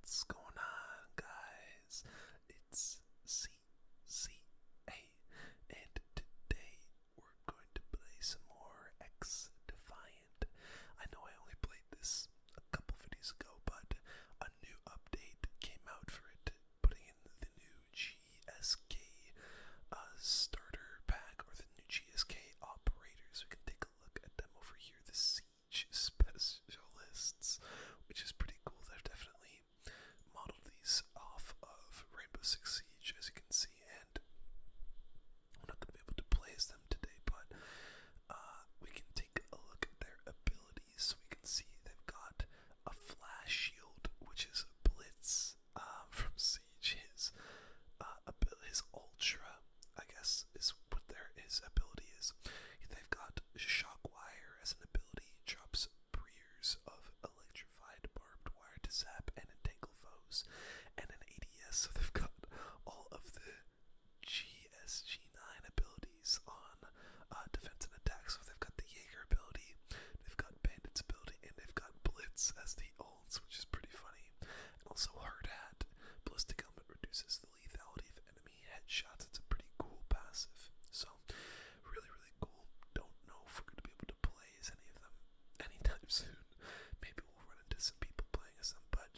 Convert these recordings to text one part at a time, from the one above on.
What's going on, guys? It's CCA, and today we're going to play some more X Defiant. I know I only played this a couple of videos ago, but a new update came out for it, putting in the new GSK uh, starter pack or the new GSK operators. We can take a look look at them over here, the Siege Specialists, which is pretty cool. They've definitely modeled these off of Rainbow Six Siege, as you can see, and we're not going to be able to play as them today, but uh, we can take a look at their abilities. We can see they've got a Flash Shield, which is a Blitz um, from C his uh, ability, his ultra, I guess is what their his ability is. They've got shock wire as an ability, drops breers of electrified barbed wire to zap and entangle foes, and an ADS. So they've got all of the GSG9 abilities on uh, defense and attack. So they've got the Jaeger ability, they've got Bandit's ability, and they've got Blitz as the ultra which is pretty funny. And also hard hat. Ballistic helmet reduces the lethality of enemy headshots. It's a pretty cool passive. So really, really cool. Don't know if we're gonna be able to play as any of them anytime soon. Maybe we'll run into some people playing as them, but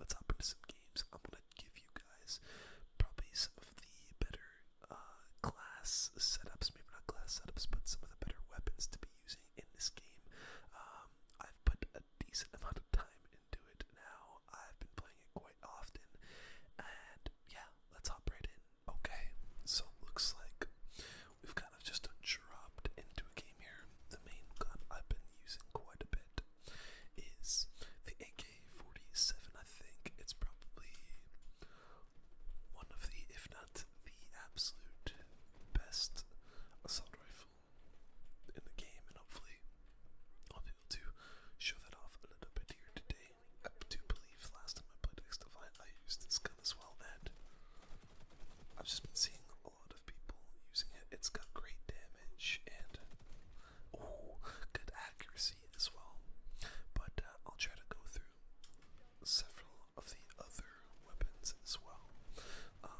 let's hop into some games. I'm gonna give you guys probably some of the better uh, class setups, maybe not class setups, but some of the better weapons to be using in this game. Um, I've put a decent amount of time into it now. I've been playing it quite often, and yeah, let's hop right in. Okay, so looks like we've kind of just dropped into a game here. The main gun I've been using quite a bit is the AK-47. I think it's probably one of the, if not the absolute best assault rifle in the game, and hopefully I'll be able to show that off a little bit here today. I do believe last time I played X Divine, I used this gun as well, and I've just been seeing a lot of people using it. It's got great damage and oh, good accuracy as well. But uh, I'll try to go through several of the other weapons as well. Um,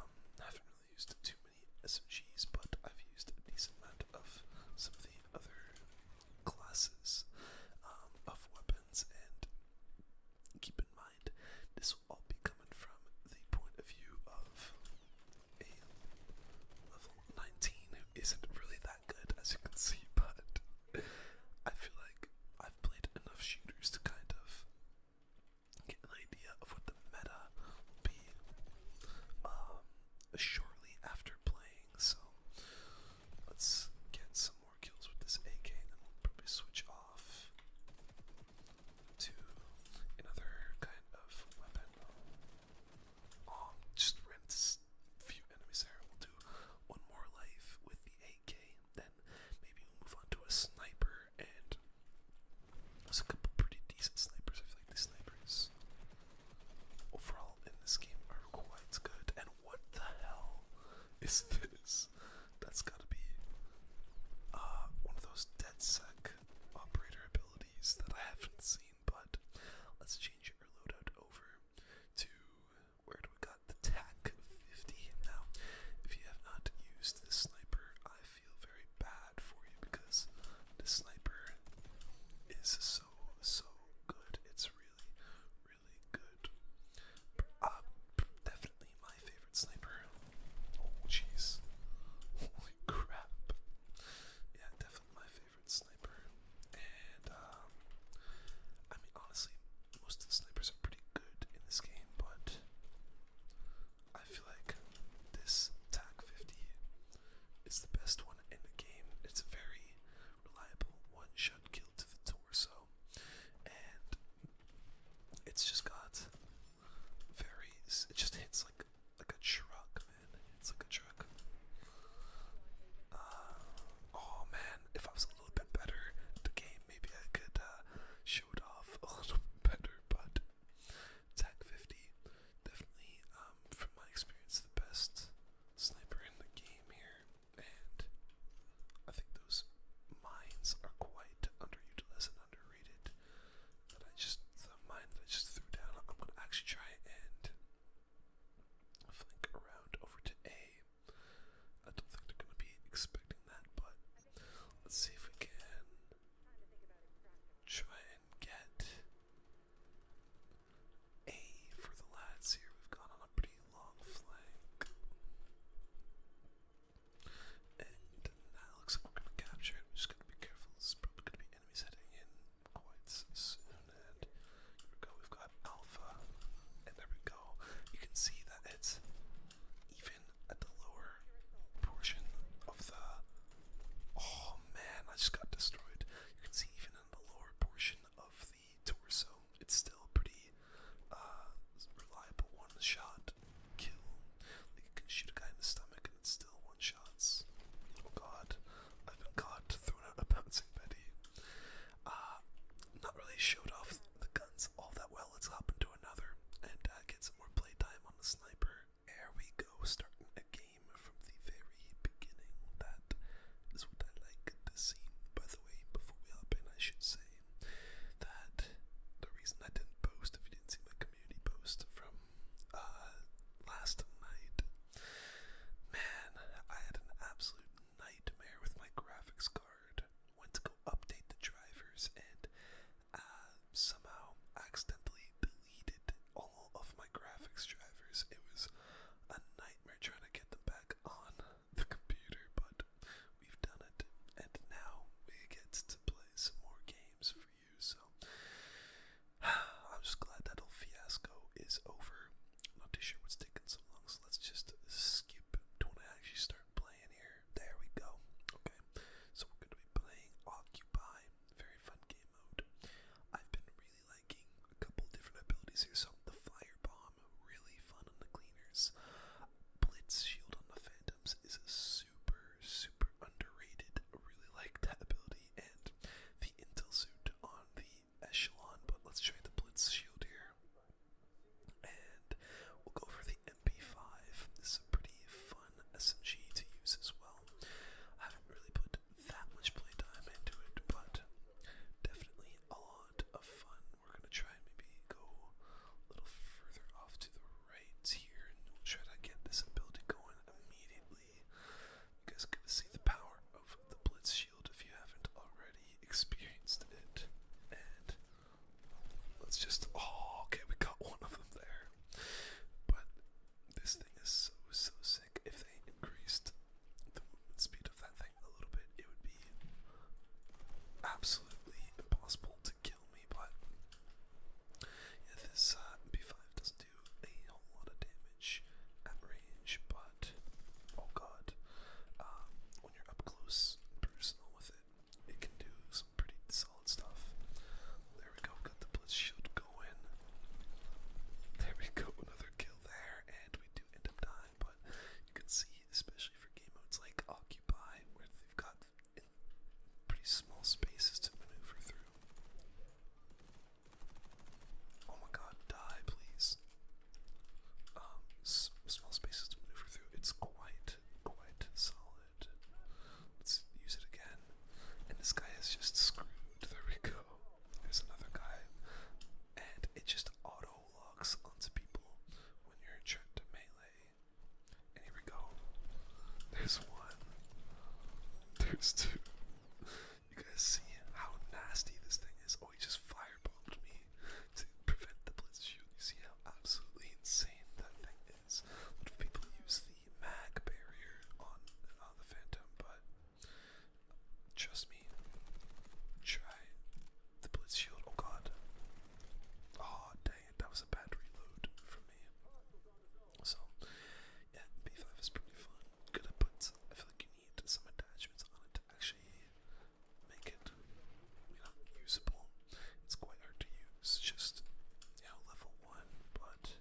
I haven't really used too many SMGs, but I've used a decent amount of some of the other classes um, of weapons, and keep in mind this will all be coming from the point of view of a level 19 who isn't really that good, as you can see, but I feel like I've played enough shooters to kind of get an idea of what the meta will be um, shortly after playing. So let's get some more kills with this AK, and then we'll probably switch off to another kind of weapon. Um, just ran a few enemies there. We'll do one more life with the AK, then maybe we'll move on to a sniper and there's a couple pretty decent snipers. I feel like the snipers overall in this game are quite good. And what the hell is this? That's gotta be uh, one of those dead DedSec operator abilities that I haven't seen, but let's change our loadout over to where do we got the tag? 50. Now, if you have not used this sniper, I feel very bad for you because the sniper is so, so good. It's really, really good. Uh, definitely my favorite sniper. Oh, jeez. Holy crap. Yeah, definitely my favorite sniper. And, um, I mean, honestly, most of the snipers are pretty good in this game, but I feel like this TAC 50 is the best one in the game. It's a very reliable one-shot kill to the torso, and it's just got very. It just hits like like a truck, man. It's like a truck. Uh, oh man, if I was a little bit better at the game, maybe I could uh, showed off a little better, but Tac 50 definitely, um, from my experience, the best sniper in the game here, and I think those mines are quite underutilized and underrated. That I just the mine I just threw down. I'm gonna actually try and flank around over to A. I don't think they're gonna be expecting that, but Let's see if we can try and get A for the lads here. We've gone on a pretty long flank. And now looks like we're going to capture just going to be careful. There's probably going to be enemies heading in quite soon. And here we go. We've got Alpha. And there we go. You can see that it's even at the lower portion of the. Oh man, I just got destroyed. You can see even in the lower portion of the torso, it's still pretty uh, reliable one shot kill. you can shoot a guy in the stomach and it's still one shots. Oh god, I've been caught, thrown out a bouncing Betty. Uh, not really showed off the guns all that well let's hop into another and uh, get some more playtime on the sniper. There we go, starting a game from the very beginning. That is what I like to see. By the way, before we hop in, I should say that the reason I didn't post, if you didn't see my community post from uh, last night, man, I had an absolute nightmare with my graphics card. Went to go update the drivers, and uh, somehow accidentally deleted all of my graphics drivers. It was a nightmare trying to get them back on the computer, but we've done it, and now we get to play some more games for you. So I'm just glad that little fiasco is over. I'm not too sure what's taking so long, so let's just skip to when I actually start playing here. There we go. Okay, so we're going to be playing Occupy. Very fun game mode. I've been really liking a couple different abilities here. So the Firebomb, really fun on the Cleaners. Blitz Shield on the Phantoms is a super, super underrated. really like that ability. And the Intel Suit on the Echelon. But let's try the Blitz Shield here. And we'll go for the MP5. This is a pretty fun SMG to use as well. I haven't really put that much playtime into it, but definitely a lot of fun. We're gonna try and maybe go a little further off to the right here, and we'll try to get this ability going immediately. You guys are gonna see the power of the Blitz Shield if you haven't already experienced it, and Let's just. Oh, okay, we got one of them there. But this thing is so, so sick. If they increased the movement speed of that thing a little bit, it would be absolutely impossible to kill me. But yeah, this uh, B5 doesn't do a whole lot of damage at range, but oh god, um, when you're up close, personal with it, it can do some pretty solid stuff. There we go, got the blitz shield going. There we go, another kill there, and we do end up dying, but you can see, especially for game modes like Occupy, where they've got pretty small spaces to maneuver through. Oh my god, die please. Um, small spaces to maneuver through. It's quite, quite solid. Let's use it again. And this guy is just screwed. There we go. There's another guy. And it just auto locks onto people when you're trying to melee. And here we go. There's one. There's two. You guys see how nasty this thing is? Oh, he just firebombed me to prevent the blitz shield. You see how absolutely insane that thing is? people use the mag barrier on uh, the Phantom, but trust me, try the Blitz Shield. Oh god. Oh dang that was a bad reload for me. So, yeah, B5 is pretty fun. Gonna put, I feel like you need some attachments on it to actually make it, usable. It's quite hard to use. It's just now level one, but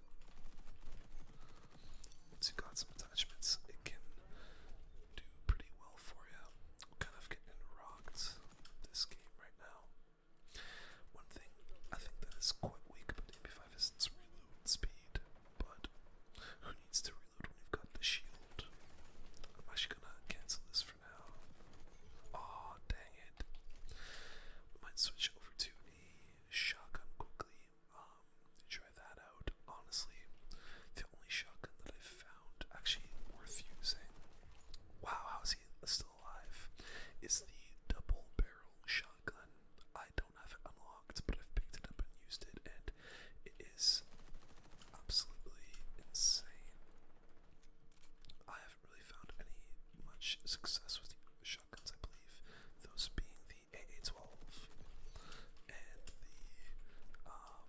once you got some attachments, it can do pretty well for you. kind of getting rocked this game right now. One thing I think that is quite weak about MP5 is its reload speed, but who needs to reload when you've got the shield? I'm actually gonna cancel this for now. Aw, oh, dang it. might switch over to a shotgun quickly. Um, try that out. Honestly, the only shotgun that I've found actually worth using. Wow, how's he still alive? Is the double barrel shotgun. I don't have it unlocked, but I've picked it up and used it, and it is absolutely insane. I really found any much success with shotguns, I believe. Those being the AA12 and the M870. Um,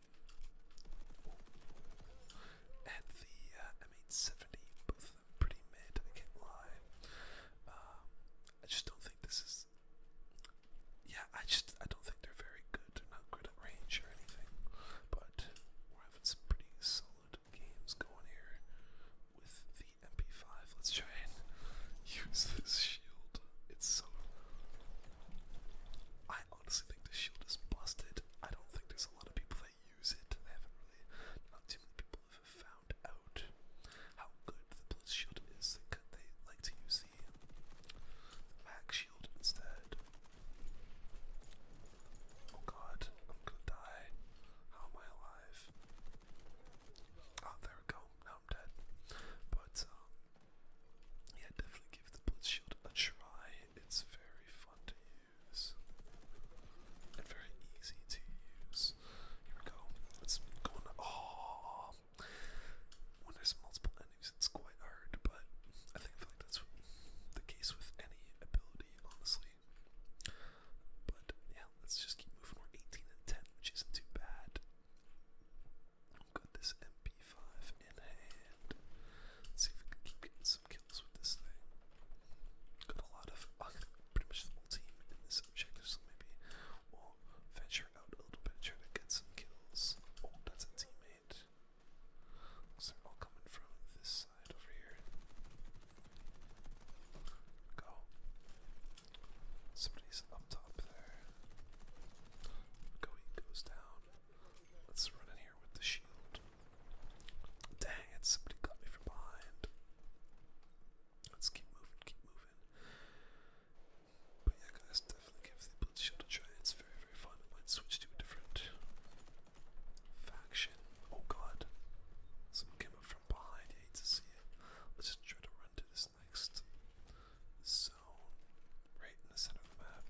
uh, Both them pretty mid. I can't lie. Um, I just don't think this is. Yeah, I just I don't think they're very good. They're not good at range or anything, but we're having some pretty solid games going here with the MP5. Let's try and use this shield. It's so. I honestly think the shield is busted. I don't think there's a lot of people that use it. They haven't really. Not too many people have found out how good the blitz shield is. They, they like to use the, the shield instead. Oh god, I'm gonna die. How am I alive? Oh, there we go. Now I'm dead. But, um, yeah, definitely give the Blitz Shield a try. It's very fun to use and very easy to use. Here we go. It's going. Oh, when there's multiple enemies, it's quite hard. But I think I feel like that's the case with any ability honestly. But yeah, let's just keep moving. We're 18 and 10, which isn't too bad. got this MP5 in hand. Let's see if we can keep some kills with this thing. Got a lot of, uh, pretty much the whole team in this objective, maybe we'll venture out a little bit try to get some kills. Oh, that's a teammate. Looks like all coming from this side over here. Go. Somebody's up top there. Go, he goes down. Let's run in here with the shield. Dang it, somebody got me from behind. Let's keep moving, keep moving. But yeah, guys, definitely give the Blitz Shield a try. It's very, very fun. might switch to a different Faction. Oh god. Someone came up from behind. I hate to see it. Let's just try to run to this next zone right in the center of the map.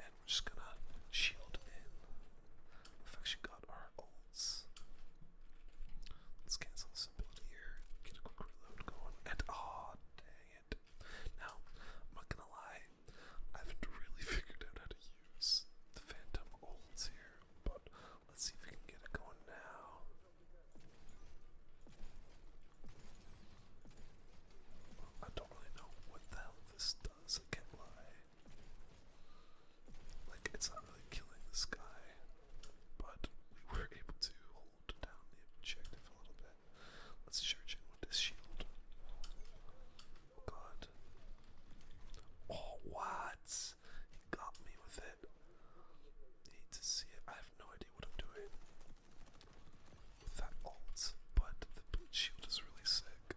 And we're just gonna shield in. we got our ults. Let's cancel this ability here. Get a quick reload going. And oh dang it. Now, I'm not gonna lie, I haven't really figured out how to use the Phantom Olds here, but let's see if we can get it going now. I don't really know what the hell this does, can't lie. Like, it's not really killing this guy, but we were able to hold down the objective a little bit. Let's charge in with this shield. God. Oh, what? He got me with it. Need to see it. I have no idea what I'm doing with that alt, but the blue shield is really sick.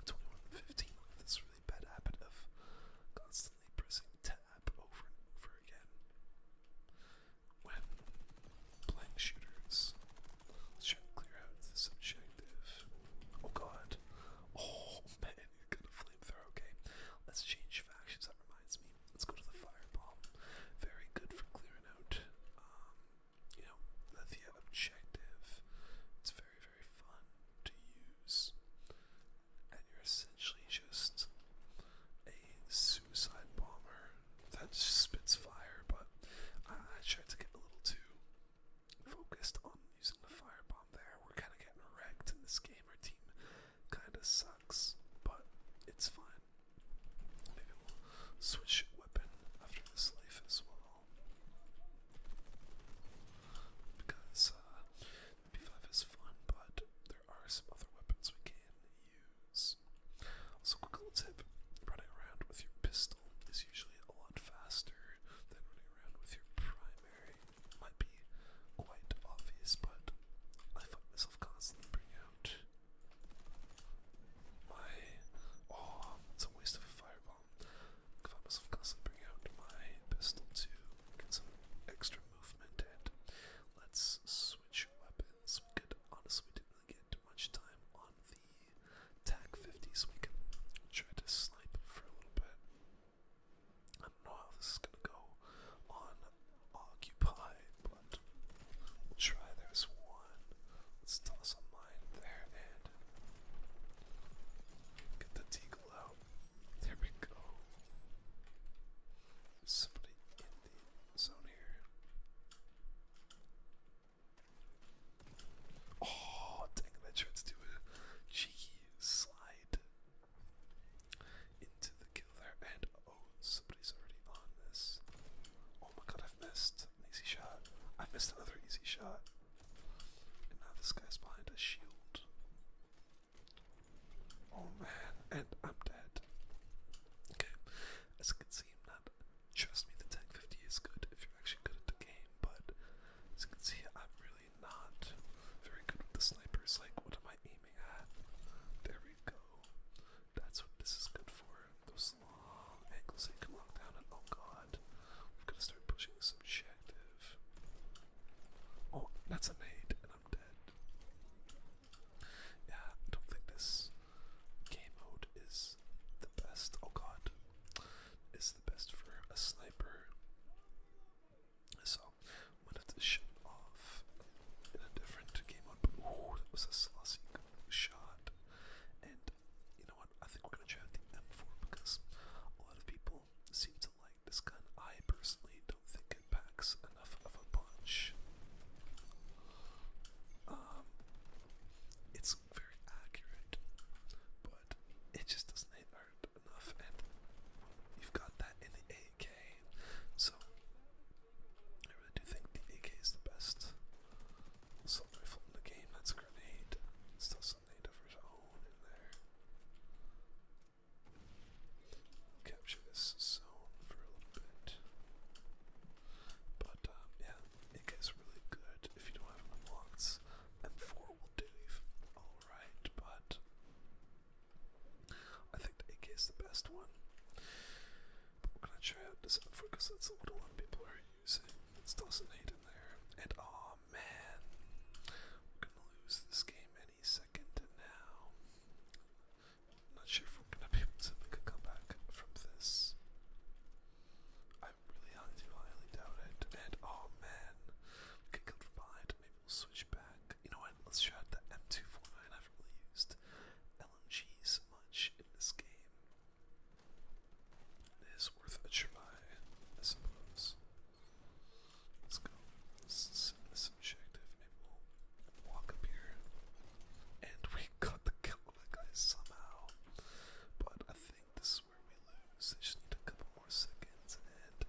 At 21 and 15, I have this really bad habit of constantly pressing tab over and over again when playing shooters. Let's try and clear out this subject this. Oh god. Oh man, he got a flamethrower. Okay, let's change factions. That reminds me. Let's go to the fireball. Very good for clearing out, um, you know, the objective. It's very, very fun to use. And you're essentially just a suicide bomber that spits fire, but I tried to get a little too focused on using the firebomb there. We're kind of getting wrecked in this game. Our team kind of sucks, but it's fine. Maybe we'll switch weapon after this life as well. Because uh, B5 is fun, but there are some other weapons we can use. Also, quick little tip running around with your pistol pistol is usually a lot faster than running around with your primary. might be quite obvious, but I find myself constantly bringing out my. Oh, it's a waste of a firebomb. I find myself constantly bringing out my pistol to get some extra movement and let's switch weapons. We could honestly didn't get much time on the TAC 50 we can try to snipe for a little bit. I don't know how this is gonna go on Occupy, but we'll try. There's one. Let's toss a mine there and get the deagle out. There we go. somebody in the zone here. Oh, dang, that tries to do a cheeky slide into the kill there. And oh, somebody's already on this. Oh my god, I've missed an easy shot. I've missed another easy shot. And now this guy's behind a shield. Oh man, and I'm dead. Okay, as you can see, not Trust me, the 1050 is good if you're actually good at the game, but as you can see, I'm really not very good with the snipers. Like, what am I aiming at? There we go. That's what this is good for. Those long angles that you can look down, and oh god, we've got to start pushing this objective. Oh, that's a nade, and I'm dead. Yeah, I don't think this game mode is best. Oh god. It's the best for a sniper. So i to shoot off in a different game mode. Oh, that was a saucy shot. And you know what? I think we're gonna try the M4 because a lot of people seem to like this gun. I personally don't think it packs enough of a punch. Um, it very accurate, but it just doesn't hit hard enough, and you've got that in the AK, so I really do think the AK is the best assault rifle in the game. That's a grenade, still some native of his in there. Capture this zone for a little bit. But um, yeah, it gets really good if you don't have enough blocks. M4 will do alright, but I think the AK is the best one. But we're gonna try out this M4 because that's the a lot people are using. It's doesn't in there. And oh man, we're gonna lose this game any second now. I'm not sure if we're gonna be able to make a comeback from this. I really highly, highly doubt it. And oh man, we get killed from behind. Maybe we'll switch back. You know what? Let's try the M249. I haven't really used LMGs much in this game. It is worth a try, I suppose. Let's go. This this objective. Maybe we'll walk up here. And we got the kill on somehow. But I think this where we lose. I just need a couple more seconds, and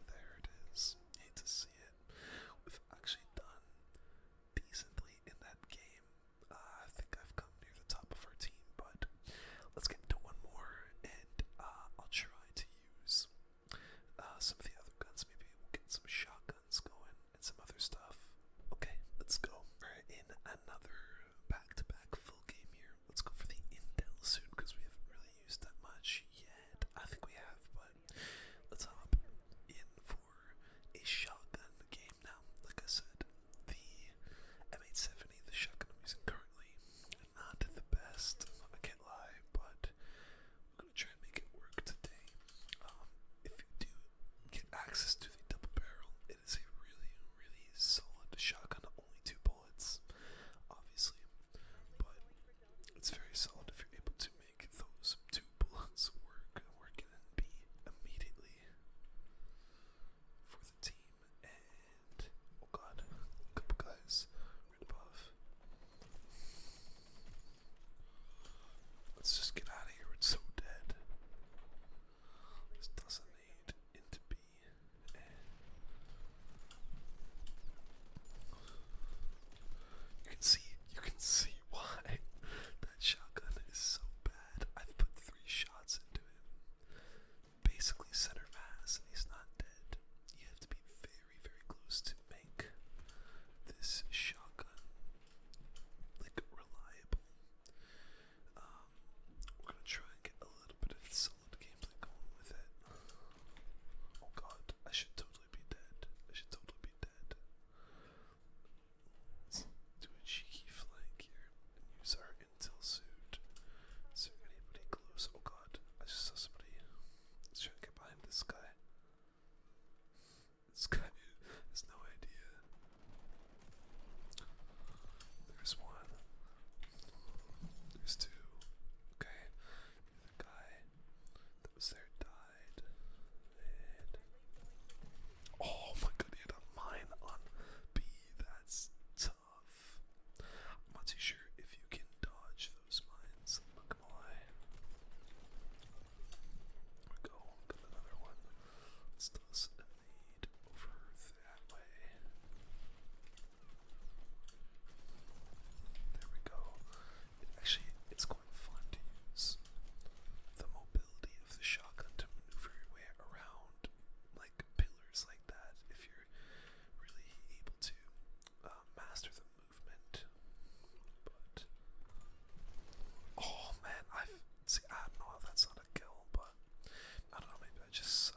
there it is. Hate to see it. We've actually done decently in that game. Uh, I think I've come near the top of our team, but let's get into one more, and uh, I'll try to use uh, some of the other guns. Maybe we'll get some shotguns going and some other stuff. Okay, let's go. we in another back-to-back back to back game here. Let's go for the Intel soon because we haven't really used that much yet. I think we have, but let's hop in for a shotgun game now. Like I said, the M870, the shotgun I'm using currently, not the best, I can't lie, but we're gonna try and make it work today. Um, if you do get access to the double barrel, it is really, really solid shotgun, only two bullets, obviously, but it's very solid if you're able to make those two bullets work, work and be immediately for the team. And oh god, a couple guys right above. Let's just get out of here. It's so dead. This doesn't you can see, you can see why that shotgun is so bad. I've put three shots into him. Basically, center mass, and he's not dead. You have to be very, very close to make this shotgun like reliable. Um, we're gonna try and get a little bit of solid gameplay going with it. Oh god, I should totally be dead. I should totally be dead. do a cheeky flank here and use our intel suit. Is there anybody close? Oh god, I just saw somebody. Let's try and get behind this guy. This guy has no idea there's one. There's two. Okay. The guy that was there died. oh my god, he had a mine on B. That's tough. I'm not too sure if you can dodge those mines. I'm not gonna lie. another one. Let's toss another there we go. actually, it's quite fun to use the mobility of the shotgun to maneuver your way around like pillars like that if you're really able to uh, master the movement. But oh man, i see I don't know if that's not a kill, but I don't know maybe I just suck.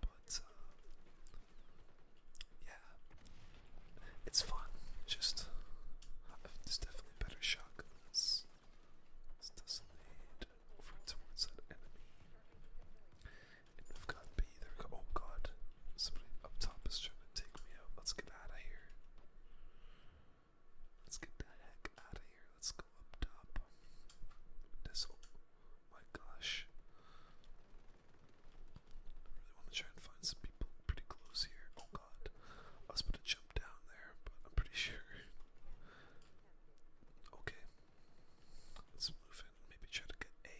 but uh, yeah, it's fun. Just there's definitely better shotguns. This doesn't need over towards that enemy. And we B there. go. Oh god, somebody up top is trying to take me out. Let's get out of here. Let's get the heck out of here. Let's go up top. This, oh my gosh. I really want to try and find some people pretty close here. Oh god. I was about to jump down there, but I'm pretty sure. Okay. Let's move in. Maybe try to get A.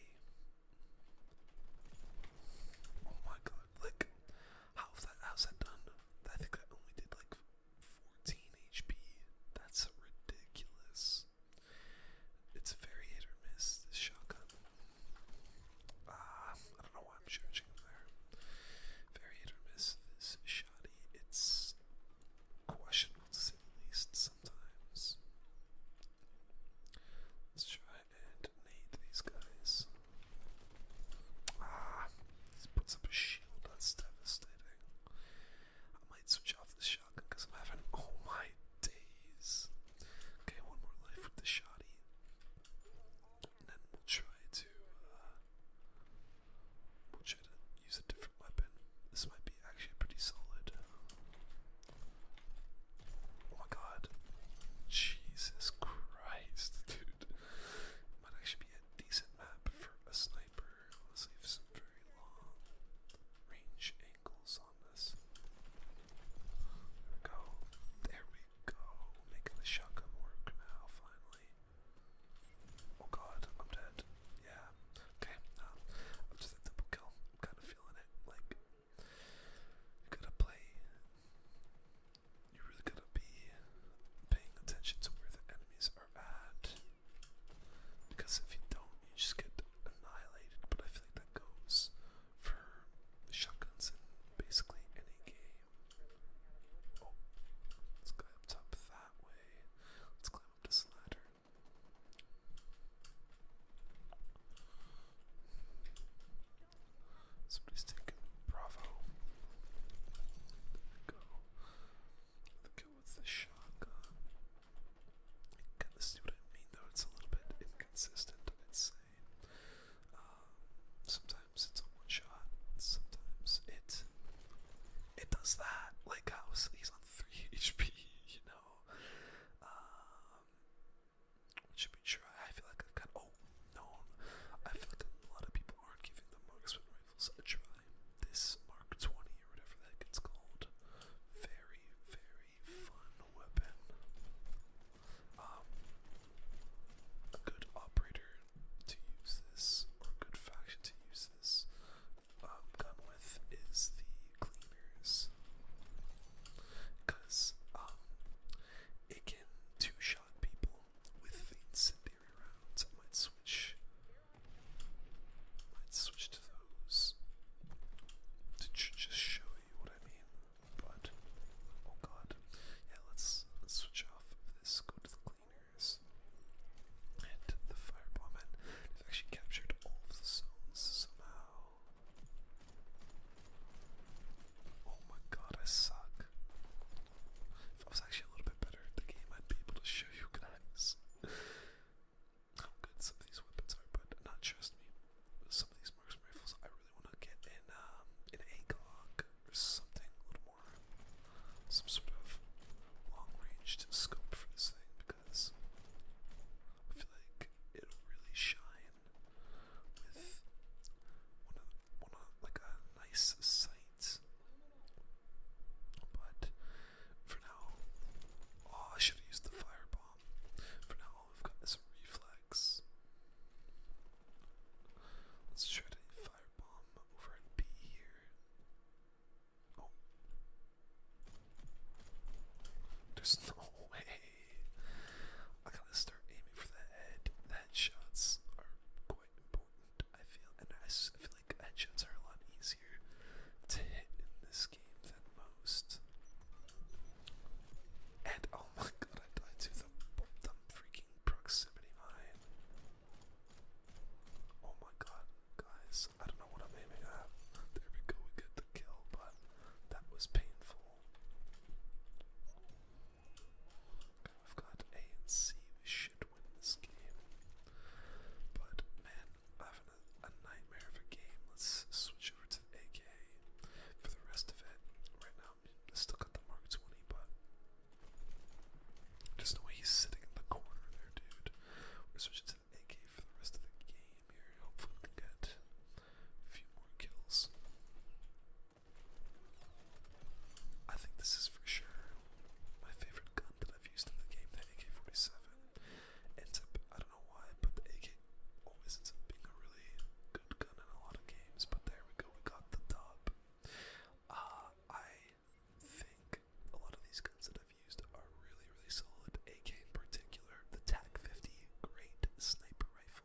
Oh my god, like, how that, how's that done? I think I only did like 14 HP. That's ridiculous. It's very hit or miss, this shotgun. Ah, I don't know why I'm charging there. Very hit or miss, this shoddy. It's questionable to least sometimes. Let's try and nade these guys. Ah, he puts up a shield, that's devastating. I might switch off the shotgun because I'm having all my days. Okay, one more life with the shoddy. And then we'll try to uh, we'll try to use a different weapon. This might be actually pretty solid. Oh my god. Jesus Christ, dude. Might actually be a decent map for a sniper. Let's leave some very long range angles on this. go. There we go. Making the shotgun work now, finally. Oh god, I'm dead. Yeah. Okay, um, I'm just a double kill. I'm kind of feeling it. Like, you gotta play. You really gotta be paying attention to where the enemies because if you don't, you just get annihilated. But I feel like that goes for shotguns in basically any game. Oh, let's go up that way. Let's climb up this ladder. Somebody's taking Bravo. There we go we go with the shotgun. Kind of see what I mean, though. It's a little bit inconsistent, I'd um, sometimes it's a one shot. Sometimes it it does that. Like how he's on three HP, you know. should um, be sure. I feel like I've got. Oh no! I feel like a lot of people aren't giving the marksman rifles a try. This Mark 20 or whatever that gets called. Very, very fun weapon. Um, a good operator to use this, or good faction to use this um, gun with is the cleaners. Because um, it can two shot people with I might switch. Might switch to those to just show you what I mean. But oh god, yeah. Let's, switch off of this. Go to the cleaners and the firebomb. they've actually captured all the zones somehow. Oh my god, I suck. If was actually a little bit better the game, I'd be able to show you guys how good some of these weapons are, but not trust me. Some of these marksman rifles I really want to get in um, an ACOG or something, a little more, some sort of long range scope for this thing because I feel like it'll really shine with one of, one of like a nice sight but for now, oh, I should have used the firebomb. For now, we've got is reflex. Let's try to firebomb over in B here. Oh. There's no way. I gotta start aiming for the head. The headshots are quite important, I feel. And I feel edges are a lot easier to hit in this game than most. And oh my god, I died to the, the freaking proximity mine. Oh my god, guys, I don't know what I'm aiming at. There we go, we get the kill, but that was painful. Okay, have got A and but man, I'm having a, nightmare of a game. Let's switch over to AK for the rest of it. Right now, I still got the Mark 20, but just the way he's sitting in the corner there, dude. We're switching to AK for the rest of the game here. Hopefully, we can get a few more kills. I think this is for sure my favorite gun that i used in the game, the AK-47 ends up, I don't know why, but the AK always ends up being a really good gun in a lot of games, but there we go, we got the dub. Uh, I think a lot of these guns that I've used are really, really solid, AK in particular, the TAC-50 Great Sniper Rifle.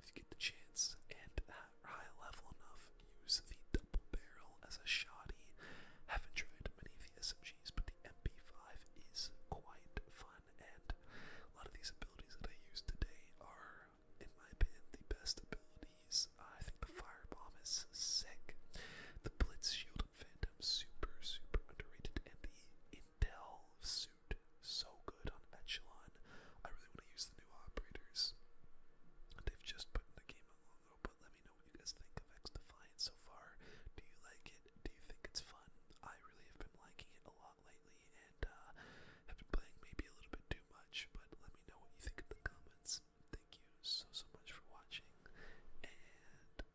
If you get the chance and at high level enough, use the double barrel as a shoddy. Haven't tried many of the SMGs, but the MP5 is quite fun, and a lot of these abilities that I use today are, in my opinion, the best abilities. Uh, I think the firebomb is sick. The blitz shield and phantom super, super underrated, and the intel suit so good on echelon. I really want to use the new operators. They've just put in the game but let me know what you guys think of X Defiant so far. Do you like it? Do you think it's fun? I really have been liking it a lot lately and uh, have been playing maybe a little bit too much, but let me know what you think in the comments. Thank you so, so much for watching, and